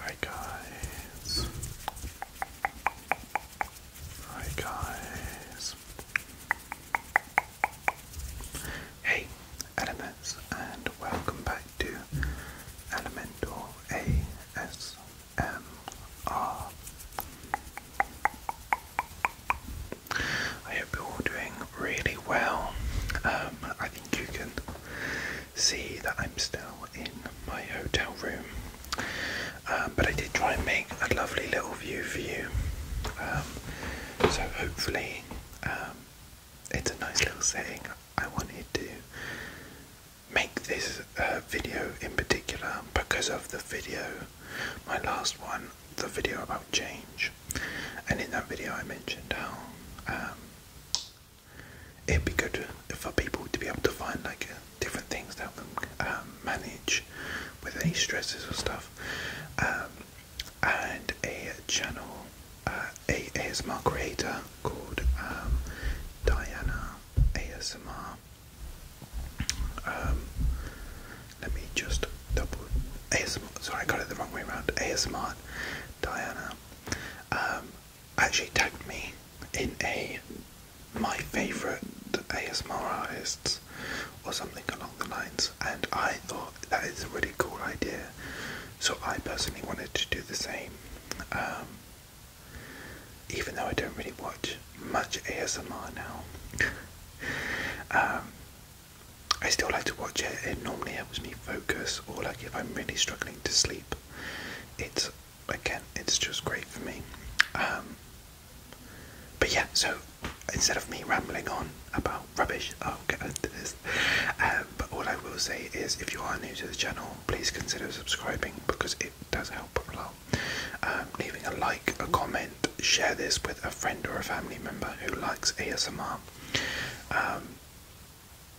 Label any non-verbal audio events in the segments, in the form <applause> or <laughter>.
Hi guys. Hi guys. Hey Elements and welcome back to Elemental ASMR. hope you're doing really well. Um, I think you can see that I'm still in my hotel room, um, but I did try and make a lovely little view for you. Um, so hopefully, it's a nice little setting. I wanted to make this uh, video in particular because of the video, my last one, the video about change. And in that video, I mentioned how um, it'd be good for people to be able to find like uh, different things to help them um, manage with any stresses or stuff. Um, and a channel, uh, a ASMR creator called Diana ASMR. let me just double ASMR. Sorry, I got it the wrong way around. ASMR Diana, um, actually tagged me in a my favourite ASMR artists or something along the lines, and I thought that is a really cool idea. So I personally wanted to do the same, um, even though I don't really watch much ASMR now. <laughs> Um, I still like to watch it. It normally helps me focus, or like if I'm really struggling to sleep, it's again, it's just great for me. Um, but yeah, so instead of me rambling on about rubbish, I'll get into this. Um, but all I will say is, if you are new to the channel, please consider subscribing because it does help a lot. Um, leaving a like, a comment, share this with a friend or a family member who likes ASMR.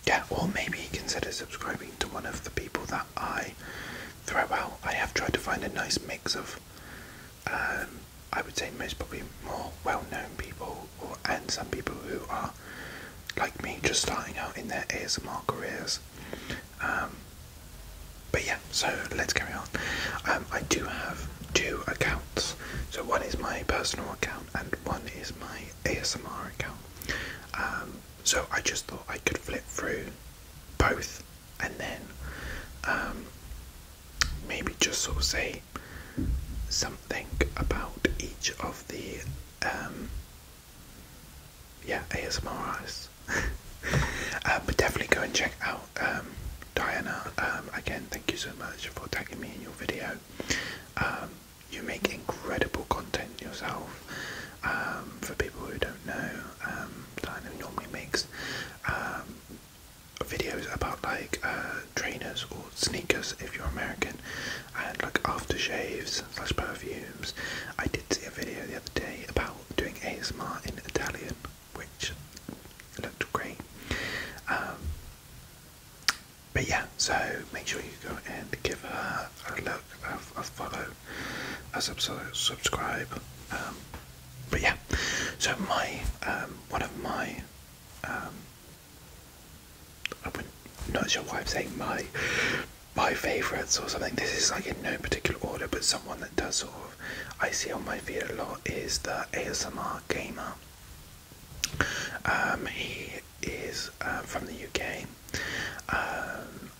Yeah, or maybe consider subscribing to one of the people that I throw out. I have tried to find a nice mix of, um, I would say, most probably more well known people or and some people who are like me just starting out in their ASMR careers. Um, but yeah, so let's carry on. Um, I do have two accounts. So one is my personal account and one is my ASMR account. Um, so I just thought I could flip through both and then um, maybe just sort of say something about each of the um, yeah ASMR artists. <laughs> Uh, but definitely go and check out Diana. again, thank you so much for tagging me in your video you make incredible content yourself. Um, for people who don't know, um, Diana normally makes um, videos about like uh, trainers or sneakers if you're American, and like aftershaves slash perfumes. I did see a video the other day about doing ASMR in Italian, which looked great. Um, but yeah, so make sure you go and give her a look, a, follow, a sub subscribe. Um, but yeah, so my um, one of my um, I wouldn't, I'm not sure why I'm saying my my favourites or something. This is like in no particular order, but someone that does sort of I see on my feed a lot is the ASMR gamer. Um, he is uh, from the UK, um,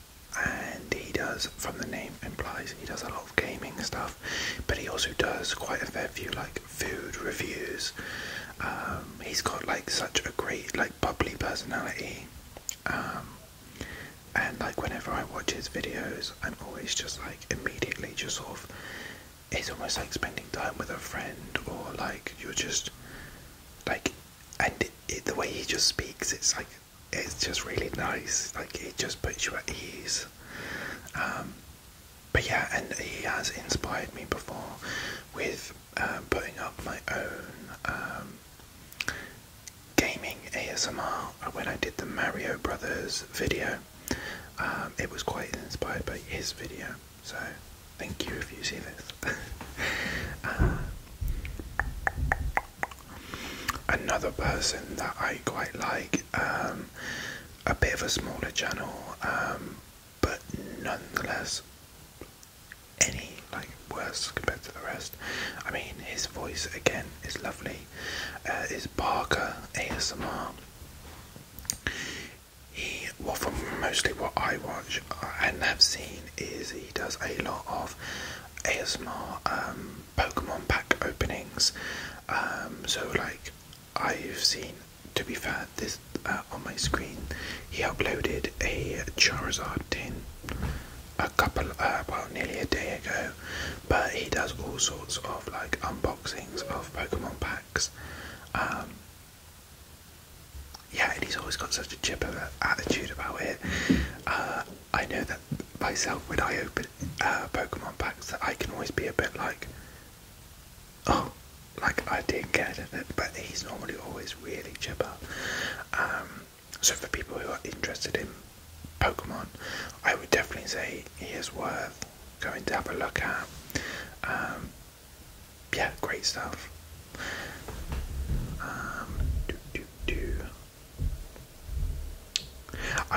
and he does, from the name implies, he does a lot of gaming stuff, but he also does quite a fair few like food reviews. Um, he's got like such a great like bubbly personality, and like whenever I watch his videos, I'm always just like immediately just sort of it's almost like spending time with a friend or like you're just like and the way he just speaks it's like it's just really nice like it just puts you at ease um, but yeah and he has inspired me before with um, putting up my own um, gaming ASMR when I did the Mario Brothers video it was quite inspired by his video so thank you if you see this. <laughs> Uh, another person that I quite like, um, a bit of a smaller channel, um, but nonetheless any like worse compared to the rest. I mean, his voice again is lovely. Uh, is Barker ASMR? He, well, from mostly what I watch and have seen, is he does a lot of ASMR um, Pokemon pack openings. Um, so, like, I've seen, to be fair, this uh, on my screen, he uploaded a Charizard tin a couple, uh, well, nearly a day ago. But he does all sorts of like unboxings of Pokemon packs. Um, yeah, and he's always got such a chip of an attitude about it. Uh, I know that myself when I open uh, Pokemon packs that I can always be a bit like, oh, like I didn't get it, but he's normally always really chipper. Um, so for people who are interested in Pokemon, I would definitely say he is worth going to have a look at. Um, yeah, great stuff. Um,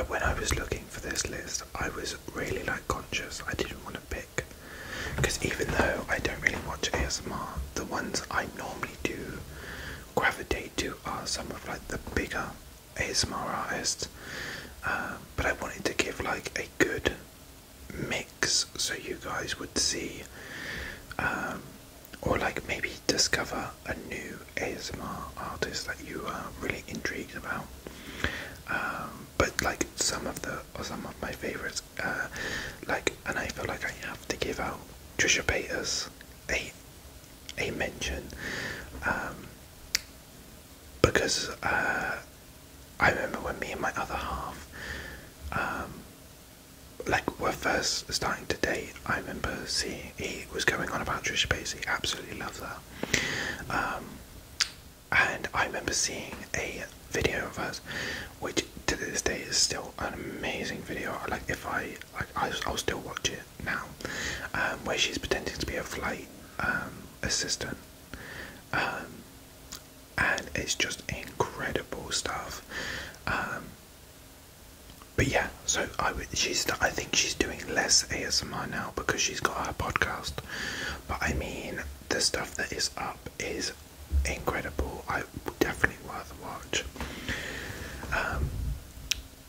when I was looking for this list, I was really like conscious. I didn't want to pick because even though I don't really watch ASMR, the ones I normally do gravitate to are some of like the bigger ASMR artists. Um, but I wanted to give like a good mix so you guys would see um, or like maybe discover a new ASMR artist that you are really intrigued about. Um, but like some of the or some of my favorites, uh, like and I feel like I have to give out Trisha Paytas a a mention um, because uh, I remember when me and my other half, um, like, were first starting to date. I remember seeing he was going on about Trisha Paytas. Absolutely loved that. Um, and I remember seeing a video of us, which to this day is still an amazing video. Like, if I like, I, I'll still watch it now, um, where she's pretending to be a flight um, assistant and it's just incredible stuff. Um, but yeah, so I would, she's I think she's doing less ASMR now because she's got her podcast. But I mean, the stuff that is up is incredible. I definitely worth watch. Um,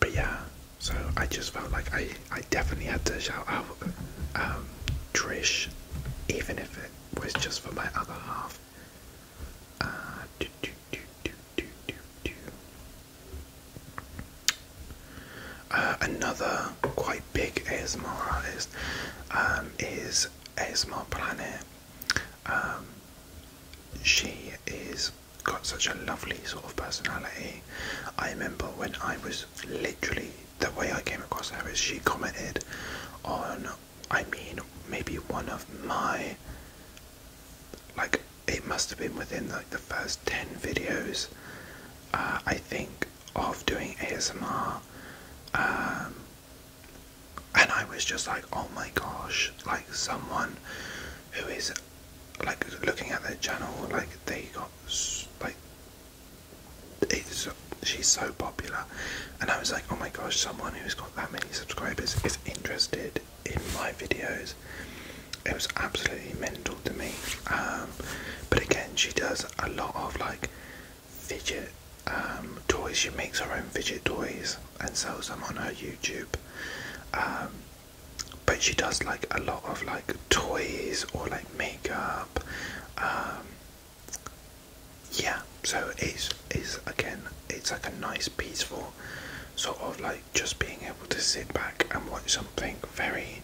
but yeah, so I just felt like I I definitely had to shout out um, Trish, even if it was just for my other half. Uh, uh, another quite big ASMR artist um, is ASMR Planet. Um, she is got such a lovely sort of personality. I remember when I was literally the way I came across her is she commented on I mean, maybe one of my. Like, it must have been within like the first 10 videos, uh, I think, of doing ASMR. Um, and I was just like, oh my gosh, like someone who is like looking at their channel, like they got like it's, she's so popular, and I was like, oh my gosh, someone who's got that many subscribers is interested in my videos. It was absolutely mental to me. Um, but again, she does a lot of like fidget um, toys. She makes her own fidget toys and sells them on her YouTube. Um, but she does like a lot of like toys or like makeup yeah, so it's it's again it's like a nice peaceful sort of like just being able to sit back and watch something very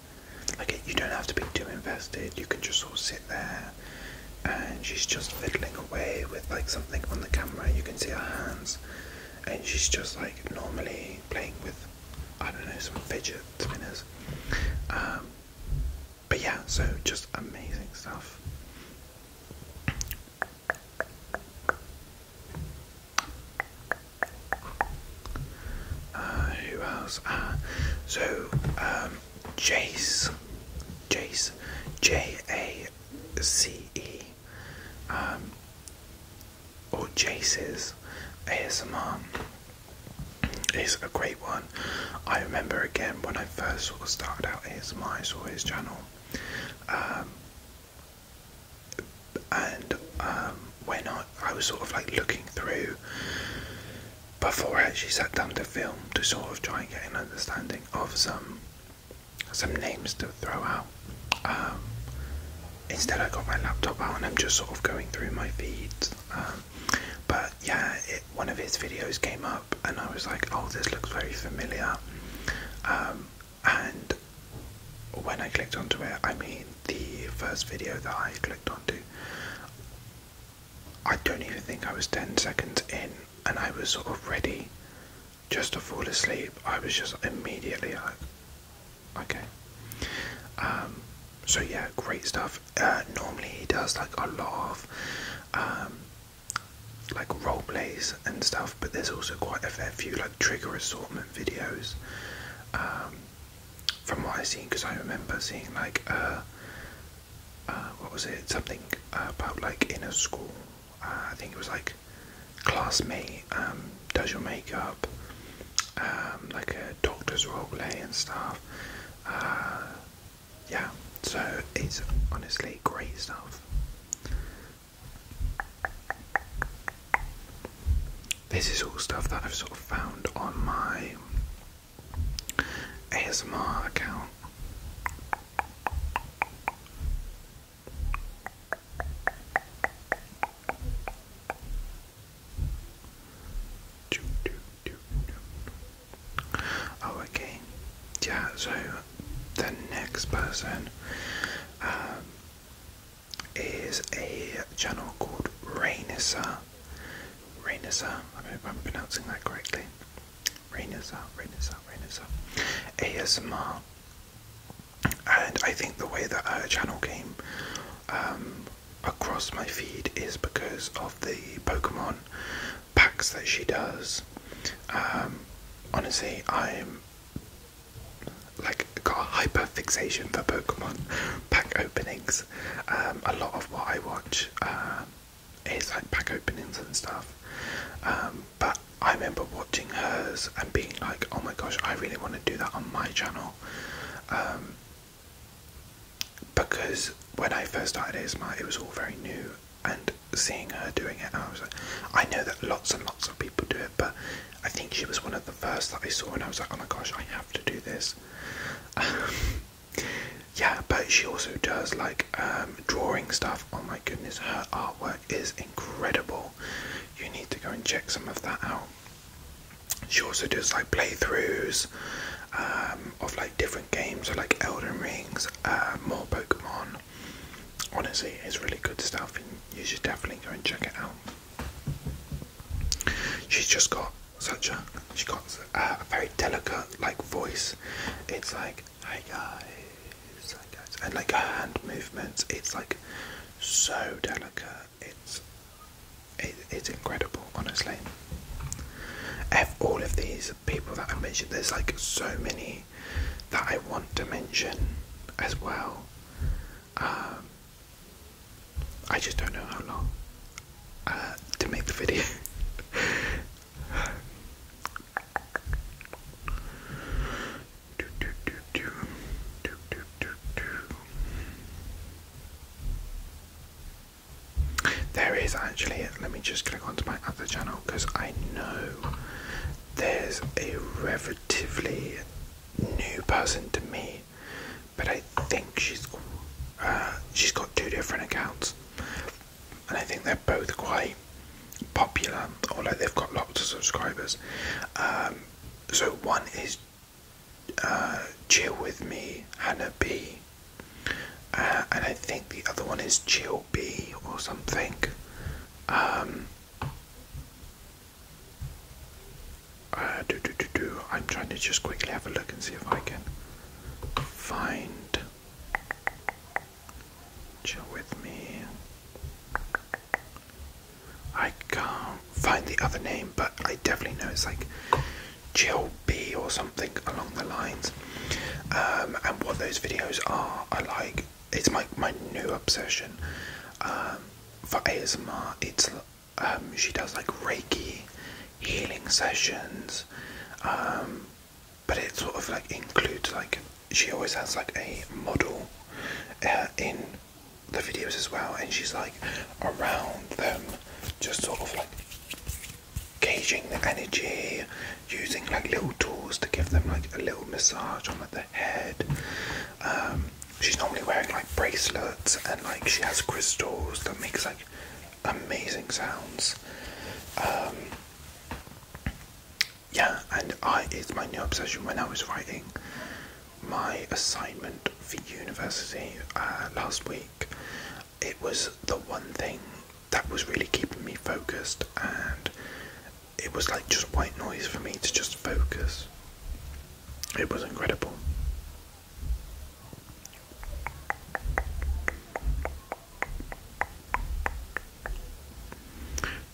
like you don't have to be too invested. You can just sort of sit there, and she's just fiddling away with like something on the camera. You can see her hands, and she's just like normally playing with I don't know some fidget spinners. Um, but yeah, so just amazing stuff. Uh, who else? Ah, so um, Jace, Jace, J A C E, um, or Jace's ASMR is a great one. I remember again when first sort of started out ASMR, I saw his channel, um, and um, when I, I was sort of like looking through before I actually sat down to film to sort of try and get an understanding of some some names to throw out. Um, instead, I got my laptop out and I'm just sort of going through my feeds. but yeah, it, one of his videos came up, and I was like, "Oh, this looks very familiar." Um, and when I clicked onto it, I mean, the first video that I clicked onto, I don't even think I was ten seconds in, and I was sort of ready just to fall asleep. I was just immediately like, "Okay." Um, so yeah, great stuff. Uh, normally he does like a lot of um, like role plays and stuff, but there's also quite a fair few like trigger assortment videos. Um, from what I've seen, because I remember seeing like uh, uh, what was it? Something about like in a school. Uh, I think it was like classmate um, does your makeup, um, like a doctor's role play and stuff. Uh, yeah, so it's honestly great stuff. This is all stuff that I've sort of found on my ASMR account. Oh, okay. Yeah, so the next person um, is a channel called Rainissa. Rainissa, I hope I'm pronouncing that correctly. Rainisa. Rainisa. Rainisa. ASMR. And I think the way that her channel came um, across my feed is because of the Pokemon packs that she does. Um, honestly, I'm like got a hyper fixation for Pokemon pack openings. Um, a lot of what I watch uh, is like pack openings and stuff. Um, but I remember watching hers and being like, oh my gosh, I really want to do that on my channel. because when I first started ASMR, it was all very new and seeing her doing it, I was like, I know that lots and lots of people do it, but I think she was one of the first that I saw, and I was like, oh my gosh, I have to do this. <laughs> yeah, but she also does like um, drawing stuff. Oh my goodness, her artwork is incredible. You need to go and check some of that out. She also does like playthroughs um, of like different games, so like Elden Rings, uh, more Pokemon. Honestly, it's really good stuff, you should definitely go and check it out. She's just got such a she got uh, a, very delicate like voice. It's like hey guys, hey and like her hand movements. It's like so delicate. It's it's incredible, honestly. F all of these people that I mentioned, there's like so many that I want to mention as well. Um, I just don't know how long uh, to make the video. <laughs> There is actually let me just click onto my other channel because I know there's a relatively new person to me, but I think she's uh, she's got two different accounts, and I think they're both quite popular or like they've got lots of subscribers. Um, so one is chill uh, with me Hannah B uh, and I think the other one is Chill B or something. Um, uh, do, do, do, do. I'm trying to just quickly have a look and see if I can find. Chill with me. I can't find the other name, but I definitely know it's like Chill B or something along the lines. Um, and what those videos are, I like. It's my my new obsession. Um, for ASMR, it's um, she does like Reiki healing sessions, but it sort of like includes like she always has like a model uh, in the videos as well, and she's like around them, just sort of like gauging the energy, using like little tools to give them like a little massage on like, the head. Um, she's normally wearing like bracelets and like she has crystals that makes like amazing sounds. Um, yeah, and I it's my new obsession when I was writing my assignment for university uh, last week. It was the one thing that was really keeping me focused, and it was like just white noise for me to just focus. It was incredible.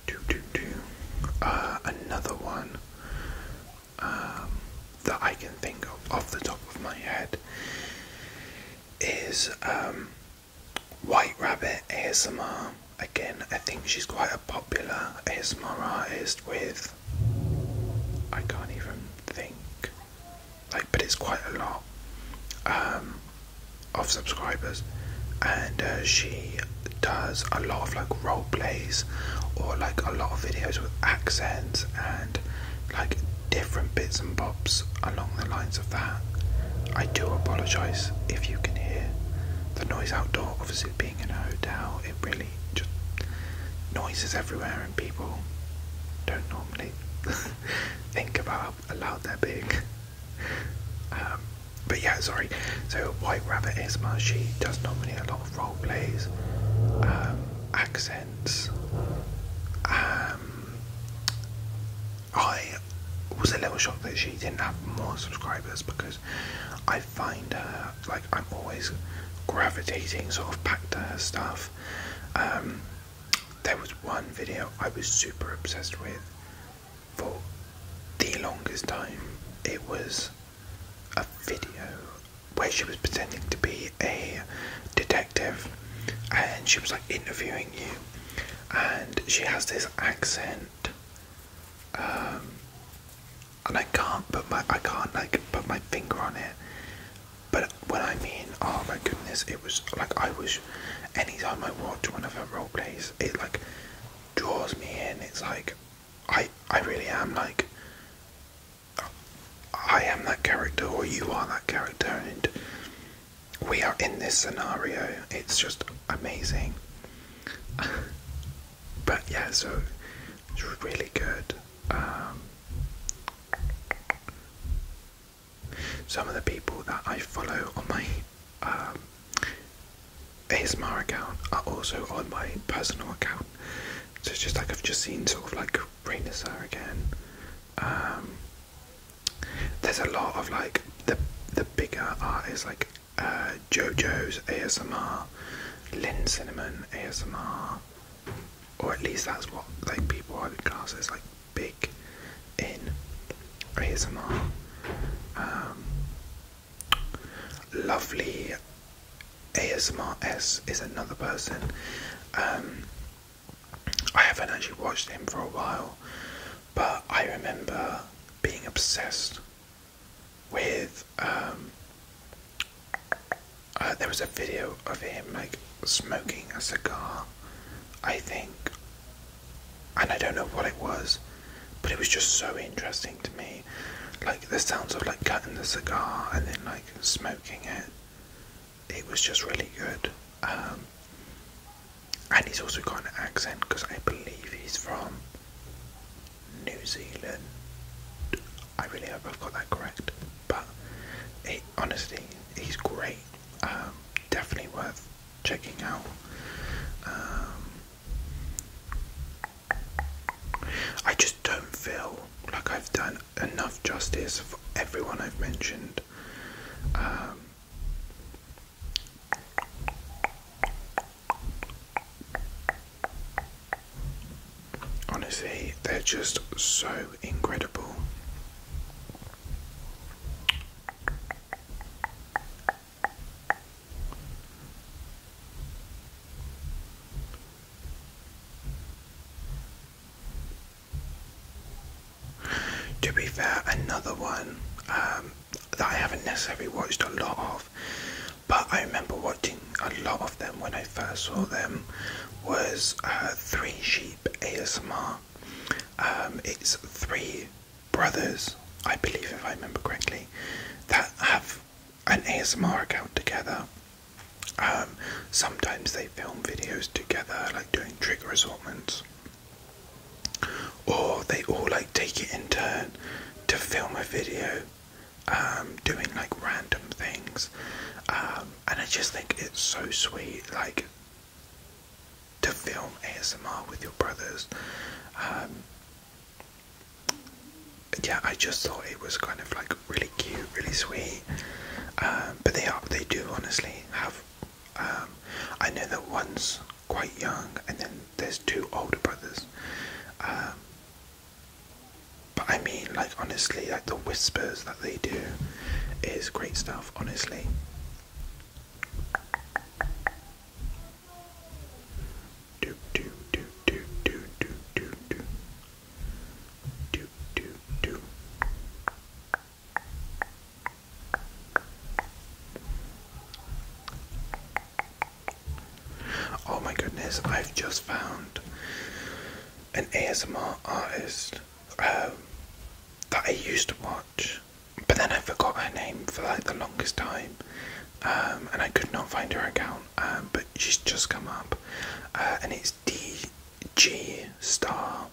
Do, do, do. Uh, another one um, that I can think of off the top of my head is um, White Rabbit ASMR. Um, again, I think she's quite a popular ASMR artist with. I can't even think. Like, but it's quite a lot um, of subscribers, and uh, she does a lot of like role plays or like a lot of videos with accents and like different bits and bobs along the lines of that. I do apologise if you can hear the noise outdoor. Obviously, being in a hotel, it really just noises everywhere, and people don't normally <laughs> think about how loud they're being. Um, but yeah, sorry. So White Rabbit is Isma, she does nominate a lot of role plays, um, accents, um, I was a little shocked that she didn't have more subscribers because I find her like I'm always gravitating sort of back to her stuff. Um, there was one video I was super obsessed with for the longest time. It was a video where she was pretending to be a detective and she was like interviewing you and she has this accent, um, and I can't put my I can't like put my finger on it. But when I mean, oh my goodness, it was like I was. Anytime I watch one of her role plays, it like draws me in. It's like I I really am like I am that character, or you are that character, and we are in this scenario. It's just amazing. <laughs> but yeah, so it's really good. Um, some of the people that I follow on my um, ASMR account are also on my personal account. So it's just like I've just seen sort of like Rainissa again. Um, there's a lot of like the the bigger artists like uh, JoJo's ASMR, Lynn Cinnamon ASMR, or at least that's what like people I would class like big in ASMR. Um, lovely ASMR S is another person. Um, I haven't actually watched him for a while, but I remember being obsessed with. Um, uh, there was a video of him like smoking a cigar, I think, and I don't know what it was, but it was just so interesting to me, like the sounds of like cutting the cigar and then like smoking it. It was just really good. Um, and he's also got an accent because I believe he's from New Zealand. I really hope I've got that correct, but he, honestly, he's great. Um, definitely worth checking out. Um, I just don't feel like I've done enough justice for everyone I've mentioned. Um, Honestly, they're just so incredible. To be fair, another one um, that I haven't necessarily watched a lot of, but I remember watching a lot of them when I first saw them, was uh, Three Sheep ASMR. Um, it's three brothers, I believe, if I remember correctly, that have an ASMR account together. Um, sometimes they film videos together, like doing trigger assortments or they all like take it in turn to film a video um, doing like random things um, and I just think it's so sweet like to film ASMR with your brothers um, yeah I just thought it was kind of like really cute really sweet but they are they do honestly have I know that once quite young, and then there's two older brothers. Um, but I mean, like honestly, like the whispers that they do is great stuff. Honestly. do do do do do do do do do do. Oh my goodness, I've just found an ASMR artist um, that I used to watch, but then I forgot her name for like the longest time, um, and I could not find her account. Um, but she's just come up, uh, and it's DG Star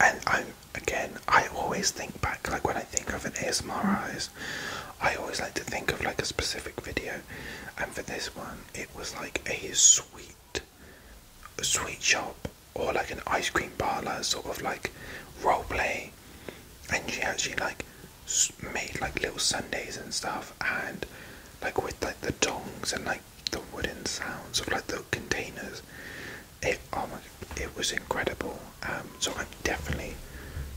and i again, I always think back like when I think of an ASMR I always like to think of like a specific video, and for this one, it was like a sweet, a sweet shop or like an ice cream parlor sort of like role play, and she actually like made like little sundays and stuff, and like with like the tongs and like the wooden sounds of like the containers it oh my, it was incredible. Um, so I'm definitely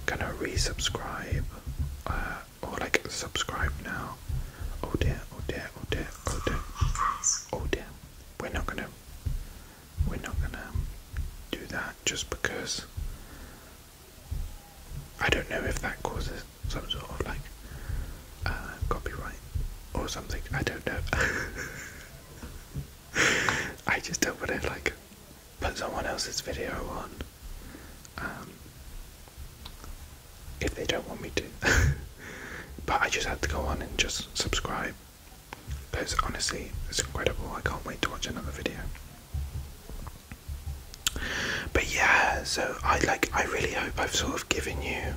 gonna resubscribe uh, or like subscribe now. Oh dear, oh dear, oh dear, oh dear, oh dear. We're not gonna we're not gonna um, do that just because I don't know if that causes some sort of like uh, copyright or something. I don't know. <laughs> I just don't want to like put someone else's video on um, if they don't want me to. <laughs> but I just had to go on and just subscribe because honestly, it's incredible. I can't wait to watch another video. But yeah, so I like. I really hope I've sort of given you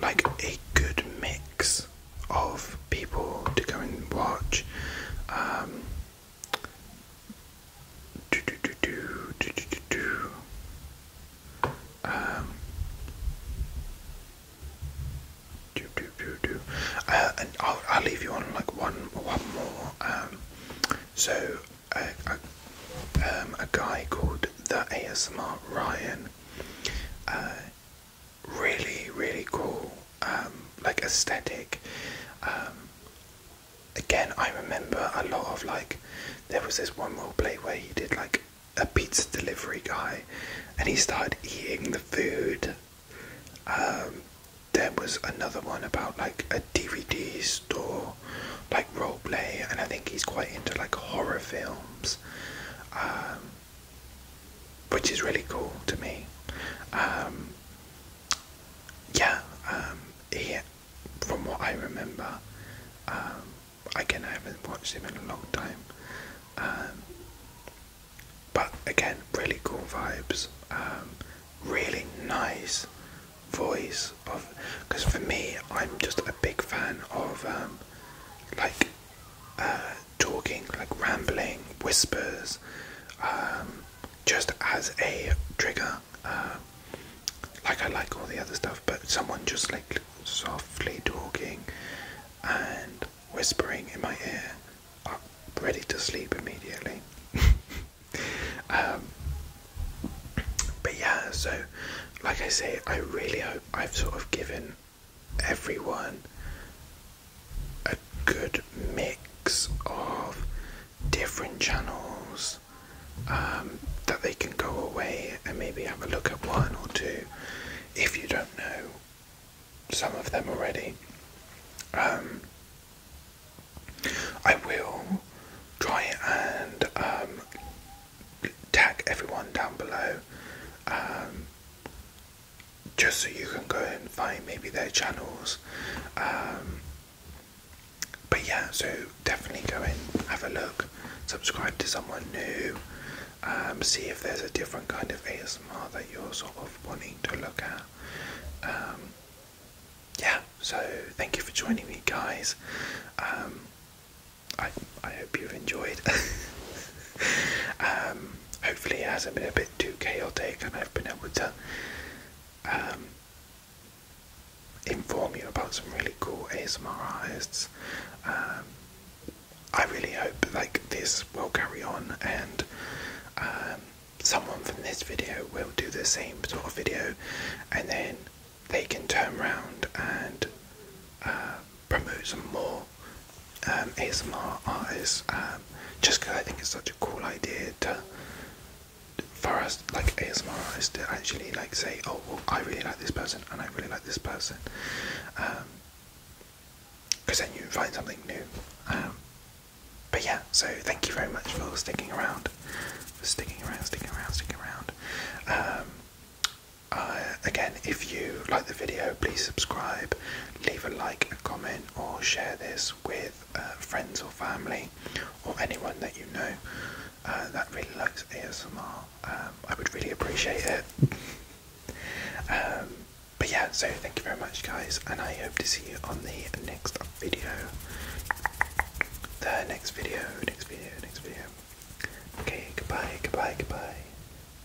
like a good mix of people to go and watch. Um, do, do, do, do, do, do, do, do. Um, do, do, do, do. Uh, and I'll, I'll leave you on like one, one more. Um, so, a, a, a guy called the ASMR Ryan. Uh, really, really cool, um, like aesthetic. Um, again, I remember a lot of like, there was this one role play where he did like a pizza delivery guy, and he started eating the food. Um, there was another one about like a DVD store, like role play, and I think he's quite into like horror films which is really cool to me. Um, yeah, um, from what I remember, um, I can not watch him in a long time, but again, really cool vibes, really nice voice of because for me, I'm just a big fan of like uh, talking, like rambling, whispers, um, just as a trigger. Uh, like I like all the other stuff, but someone just like softly talking and whispering in my ear, I'm ready to sleep immediately. <laughs> Um, but yeah, so like I say, I really hope I've sort of given everyone a good mix of different channels um, that they can go away and maybe have a look at one or two if you don't know some of them already. Um, I will try and um, tag everyone down below just so you can go and find maybe their channels. Um, but yeah, so definitely go in, have a look, subscribe to someone new, um, see if there's a different kind of ASMR that you're sort of wanting to look at. Um, yeah, so thank you for joining me, guys. Um, I I hope you've enjoyed. <laughs> hopefully it hasn't been a bit too chaotic and I've been able to um, inform you about some really cool ASMR artists. Um, I really hope like this will carry on and um, someone from this video will do the same sort of video and then they can turn around and uh, promote some more um, ASMR artists. Um, just because I think it's such a cool idea to for us like ASMR artists to actually like say, oh, well, I really like this person and I really like this person. Because um, then you find something new. but yeah, so thank you very much for sticking around, sticking around, sticking around, sticking around. Uh, again, if you like the video, please subscribe, leave a like, a comment, or share this with uh, friends or family or anyone that you know uh, that really likes ASMR. Um, I would really appreciate it. <laughs> Um, but yeah, so thank you very much, guys, and I hope to see you on the next video. The next video, next video, next video. Okay, goodbye, goodbye, goodbye.